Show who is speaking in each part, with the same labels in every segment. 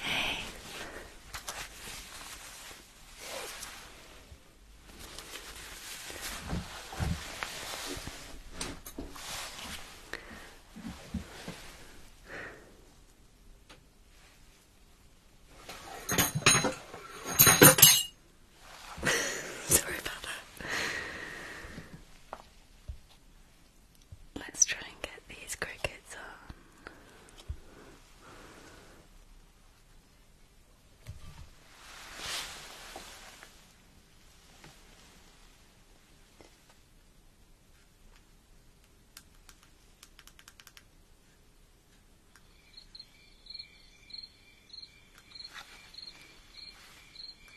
Speaker 1: Hey. Sorry about that. Let's try and get these crickets on.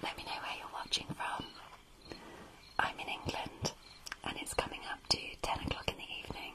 Speaker 1: Let me know where you're watching from. I'm in England and it's coming up to 10 o'clock in the evening.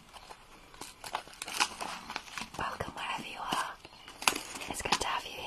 Speaker 1: Welcome wherever you are. It's good to have you here.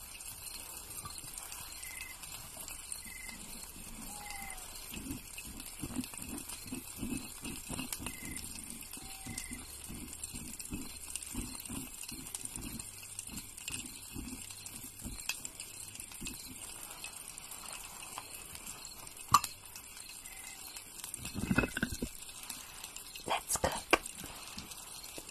Speaker 1: Let's cook.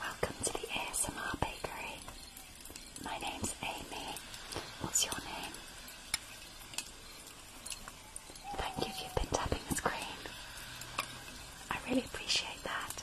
Speaker 1: Welcome to the ASMR Bakery. My name's Amy. What's your name? Thank you for you tapping the screen. I really appreciate that.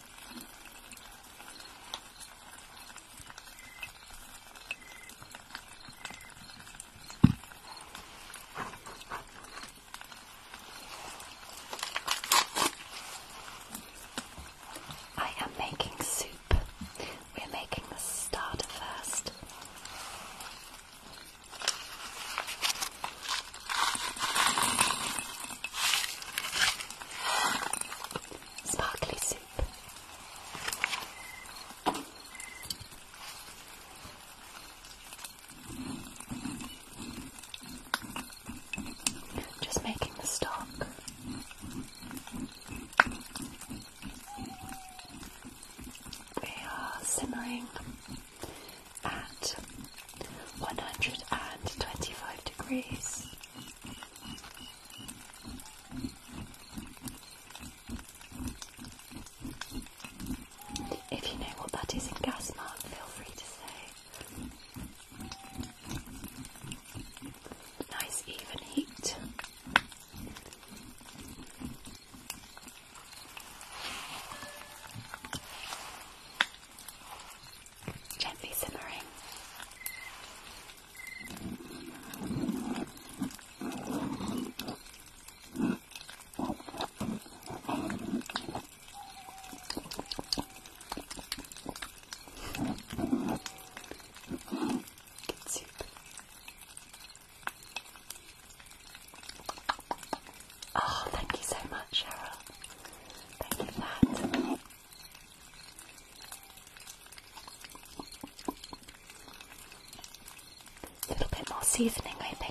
Speaker 1: I am making soup. We're making the starter first. Sparkly soup. Just making the stock. We are simmering at 125 degrees. If you know what that is in gas mark, feel free to say. Nice even heat gently simmering. soup. Oh, thank you so much, Cheryl. Thank you for that. A little bit more seasoning, I think.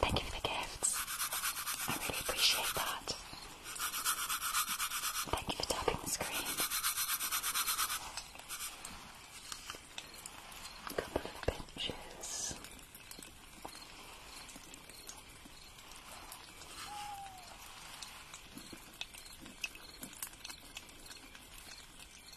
Speaker 2: Thank you for the gifts. I really appreciate that. Thank you for tapping the screen. A couple of pinches.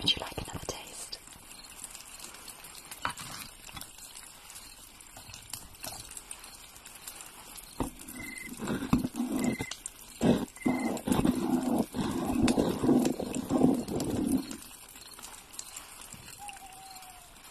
Speaker 1: Would you like another taste?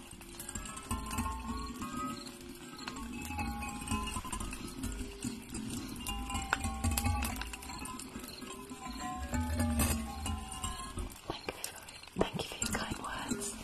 Speaker 1: Thank you, for, thank you for your kind words.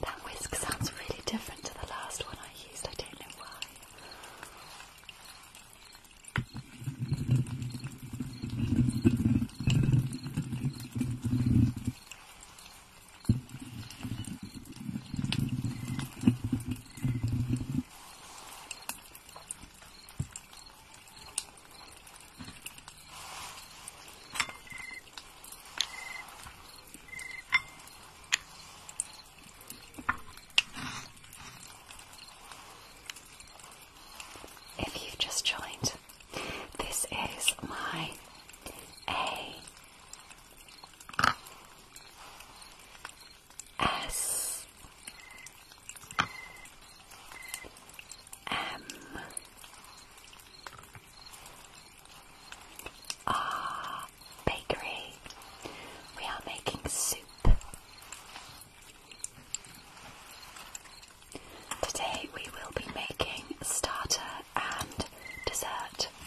Speaker 1: That whisk sounds really different to the last one I used, I don't know why. If you've just joined, this is my
Speaker 2: A S M
Speaker 1: bakery. We are making soup. Today we will be making starter and dessert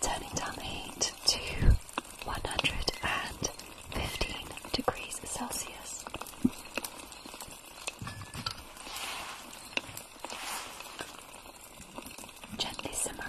Speaker 1: Turning down the heat to 115 degrees Celsius. Gently simmering.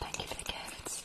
Speaker 1: Thank you for the gifts.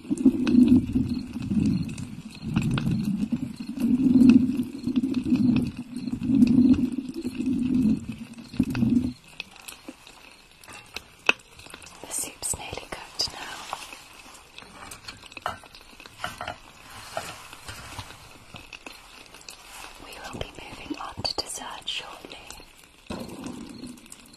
Speaker 1: The soup's nearly cooked now. We will be moving on to dessert shortly.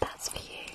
Speaker 1: That's for you.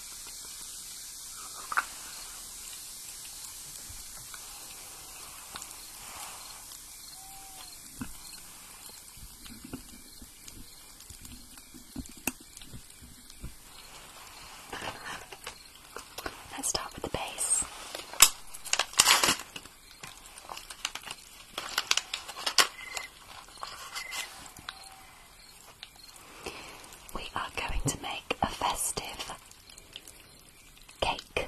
Speaker 1: Let's start with the base. We are going to make a festive cake.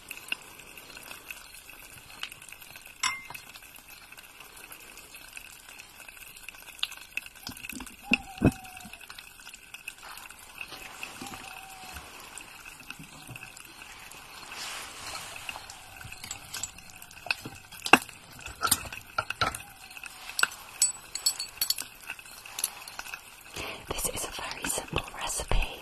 Speaker 1: This is a very simple recipe.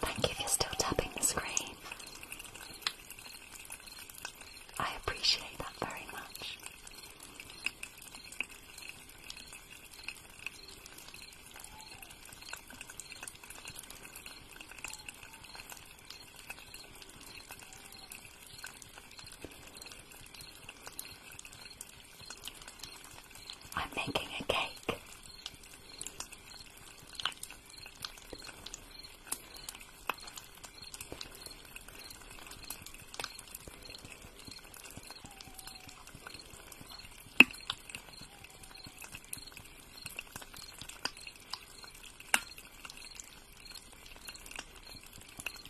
Speaker 1: Thank you if you're still tapping the screen. I appreciate that very much. I'm making a cake.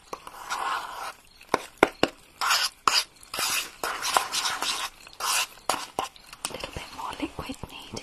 Speaker 2: A little bit more liquid needed.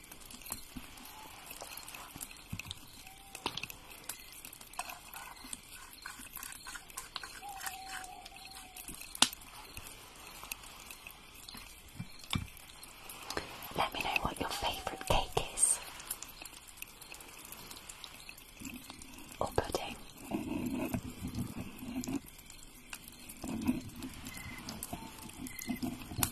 Speaker 1: Let me know what your favourite cake is. Or pudding.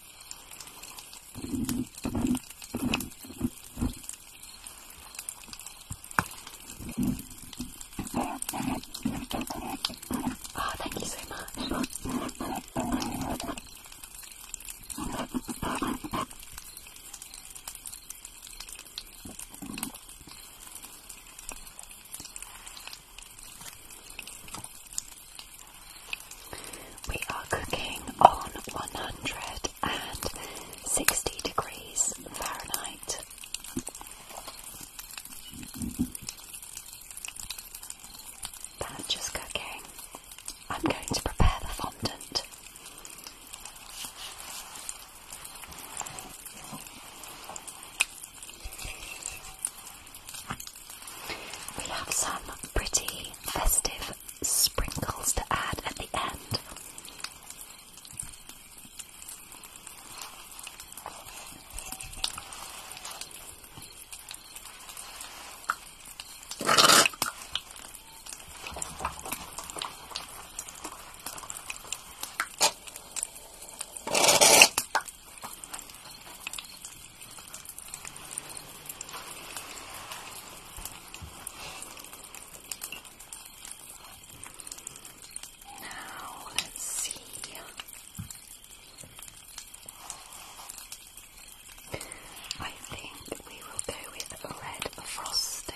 Speaker 2: Oh, thank you so much.
Speaker 1: We are cooking on 160 degrees Fahrenheit. That's cooking. I'm going to prepare the fondant
Speaker 2: we have some
Speaker 1: pretty festive sprinkles to add at the end. Now let's see. I think we will go with red frosting.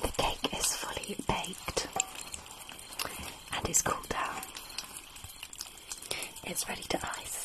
Speaker 1: The cake is fully baked and is cooled down. It's ready to ice.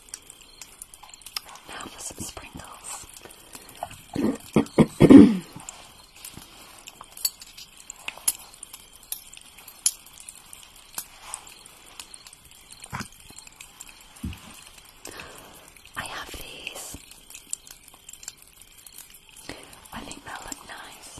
Speaker 1: Now for some sprinkles. I have these. I think they'll look nice.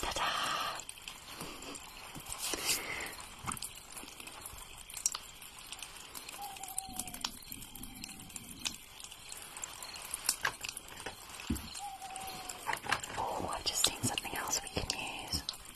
Speaker 1: Ta-da! Oh, I've just seen something else we can use.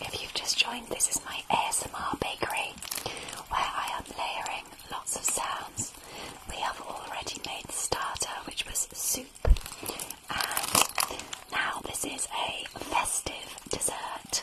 Speaker 1: If you've just joined, this is my ASMR bakery where I am layering lots of sounds. We have already made the starter, which was soup, and now this is a festive dessert.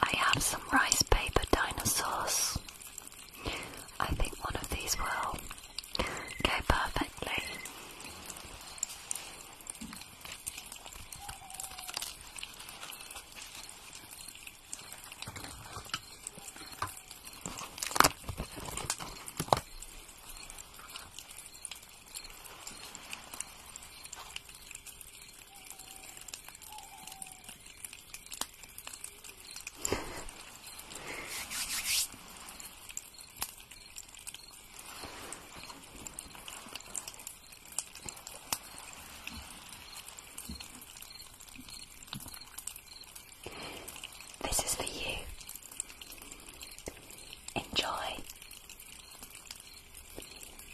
Speaker 1: I have some rice paper dinosaurs. I think one of these will go perfectly. This is for you. Enjoy.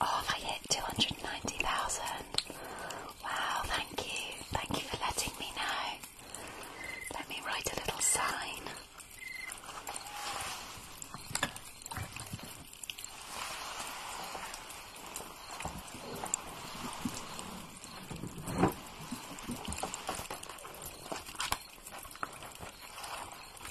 Speaker 1: Oh, I hit 290,000. Wow, thank you. Thank you for letting me know. Let me write a little sign.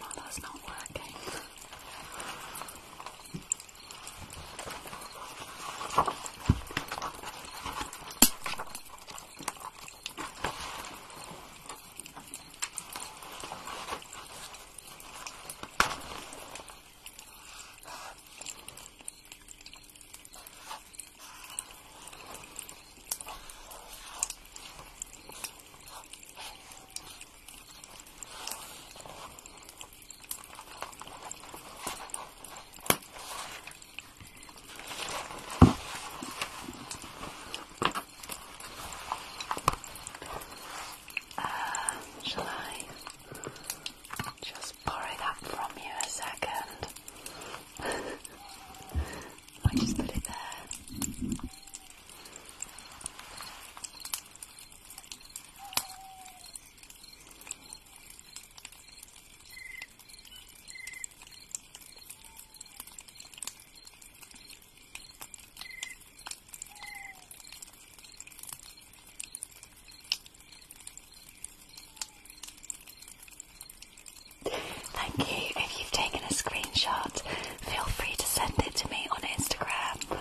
Speaker 1: Well, that's not working. Uh, shall I just pour it up from you a second. I just put it there. Thank you. If you've taken a screenshot, feel free to send it to me on Instagram.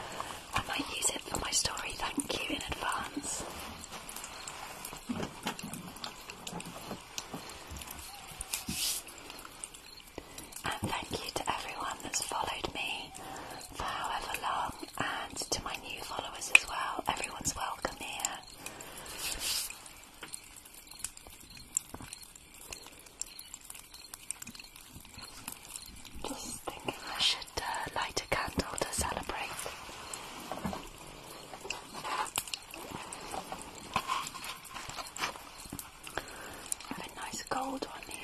Speaker 1: I might use it for my story. Thank you in advance. And thank you to everyone that's followed me for however long and to my new followers as well. Everyone's welcome here. Just thinking I should uh, light a candle to celebrate. have a nice gold one here.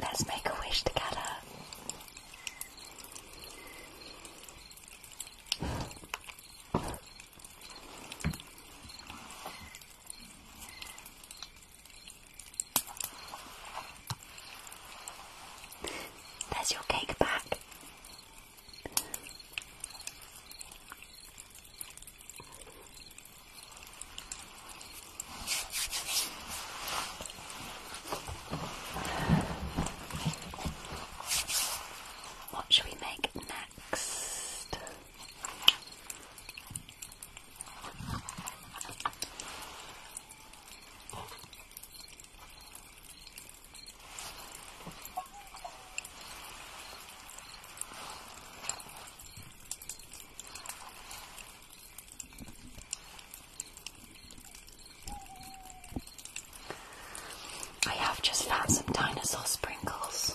Speaker 1: Let's make a wish together. There's your cake back. What should we make next? I have just found some dinosaur sprinkles.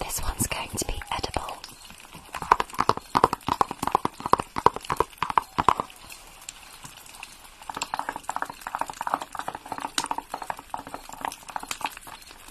Speaker 1: This one's going to be edible.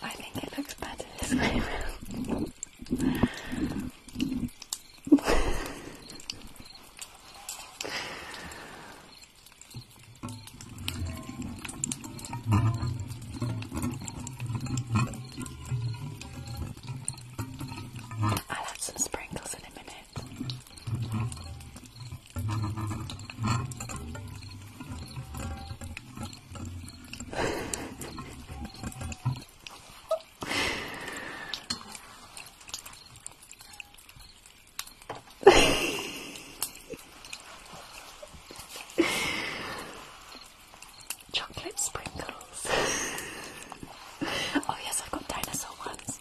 Speaker 1: I think it looks better this way I'll add some sprinkles in a minute.
Speaker 2: Chocolate sprinkles.
Speaker 1: oh, yes, I've got dinosaur ones.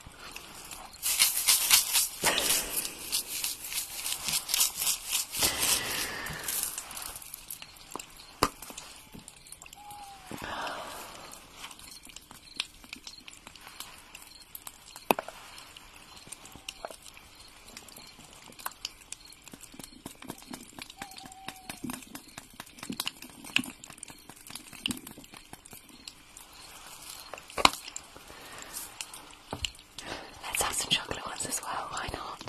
Speaker 1: Let's have some chocolate ones as well, why not?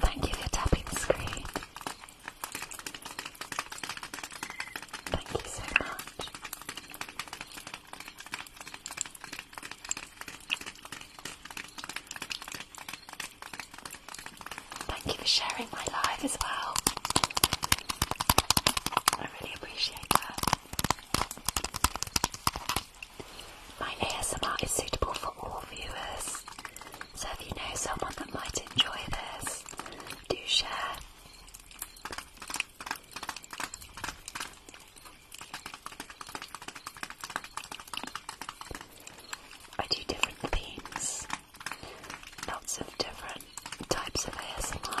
Speaker 1: Thank you for tapping the screen. Thank you so much. Thank you for sharing my live as well. I really appreciate that. My ASMR is suitable for all viewers, so if you know someone that might enjoy this, do share. I do different themes, lots of different types of ASMR.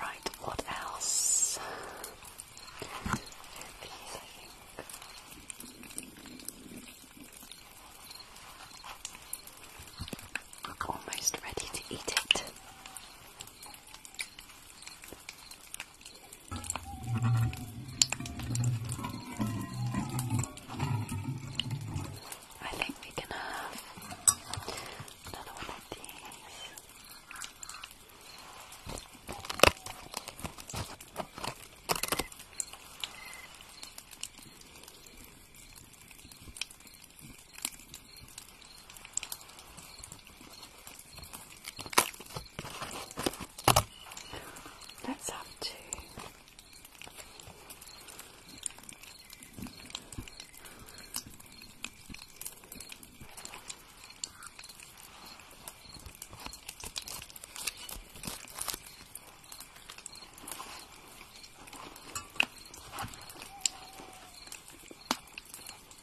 Speaker 2: Right, what else? I'm almost ready to eat it. I think we can have another one of these. That's up to. two.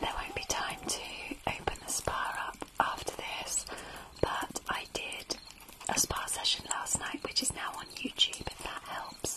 Speaker 1: There won't be time to open the spa up after this, but I did a spa session last night, which is now on YouTube if that helps.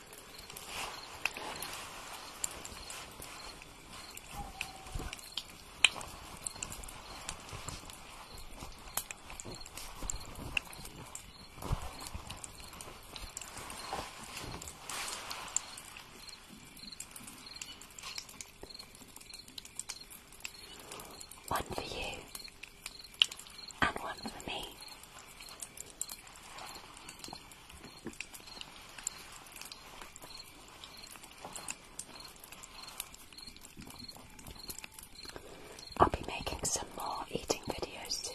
Speaker 1: One for you and one for me. I'll be making some more eating videos soon.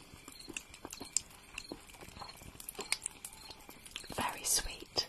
Speaker 1: Very sweet.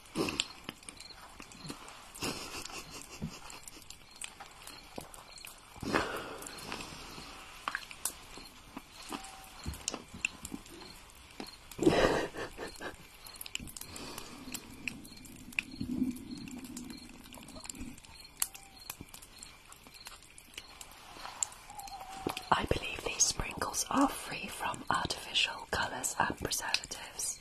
Speaker 1: I believe these sprinkles are free from artificial colours and preservatives.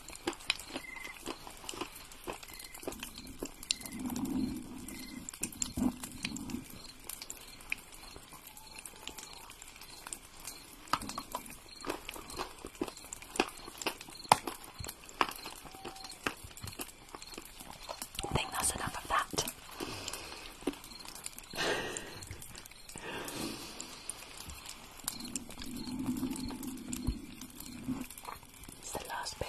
Speaker 1: I think that's enough of that. It's the last bit.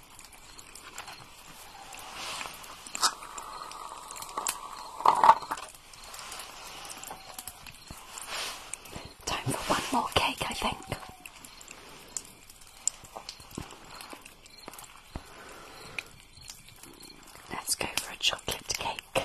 Speaker 1: Time for one more cake, I think. Let's go for a chocolate cake.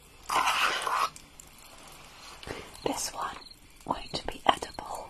Speaker 1: This one won't be edible.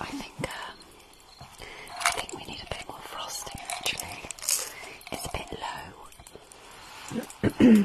Speaker 2: I think um, I think we need a bit more frosting actually. It's a bit low.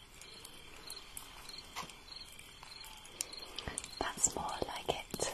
Speaker 1: That's more like it.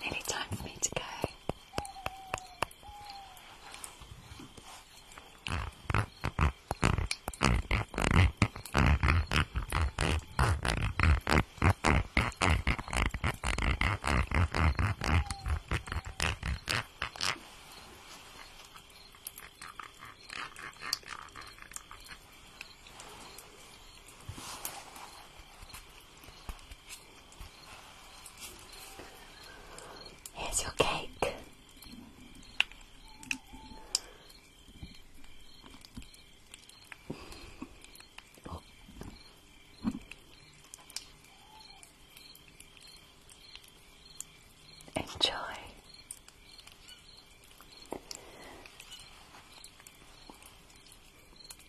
Speaker 2: Nearly time for me to go. Here's your cake. Enjoy.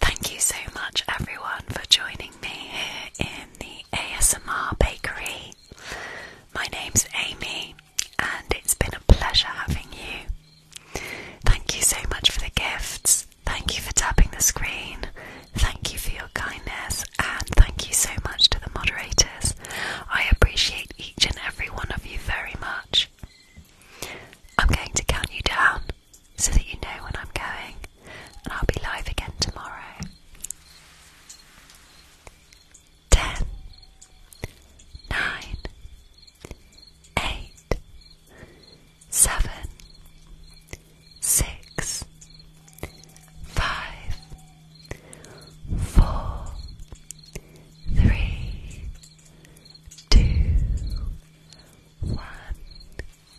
Speaker 1: Thank you so much, everyone, for joining me here in the ASMR Bakery. My name's Amy, and it's been a pleasure having you. Thank you so much for the gifts. Thank you for tapping the screen. Thank you for your kindness. And thank you so much to the moderators. I appreciate each and every one of you very much. I'm going to count you down so that you know when I'm going, and I'll be live again tomorrow. 10, 8, seven, six, five, four, three, two, one.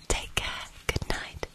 Speaker 1: Take care. Good night.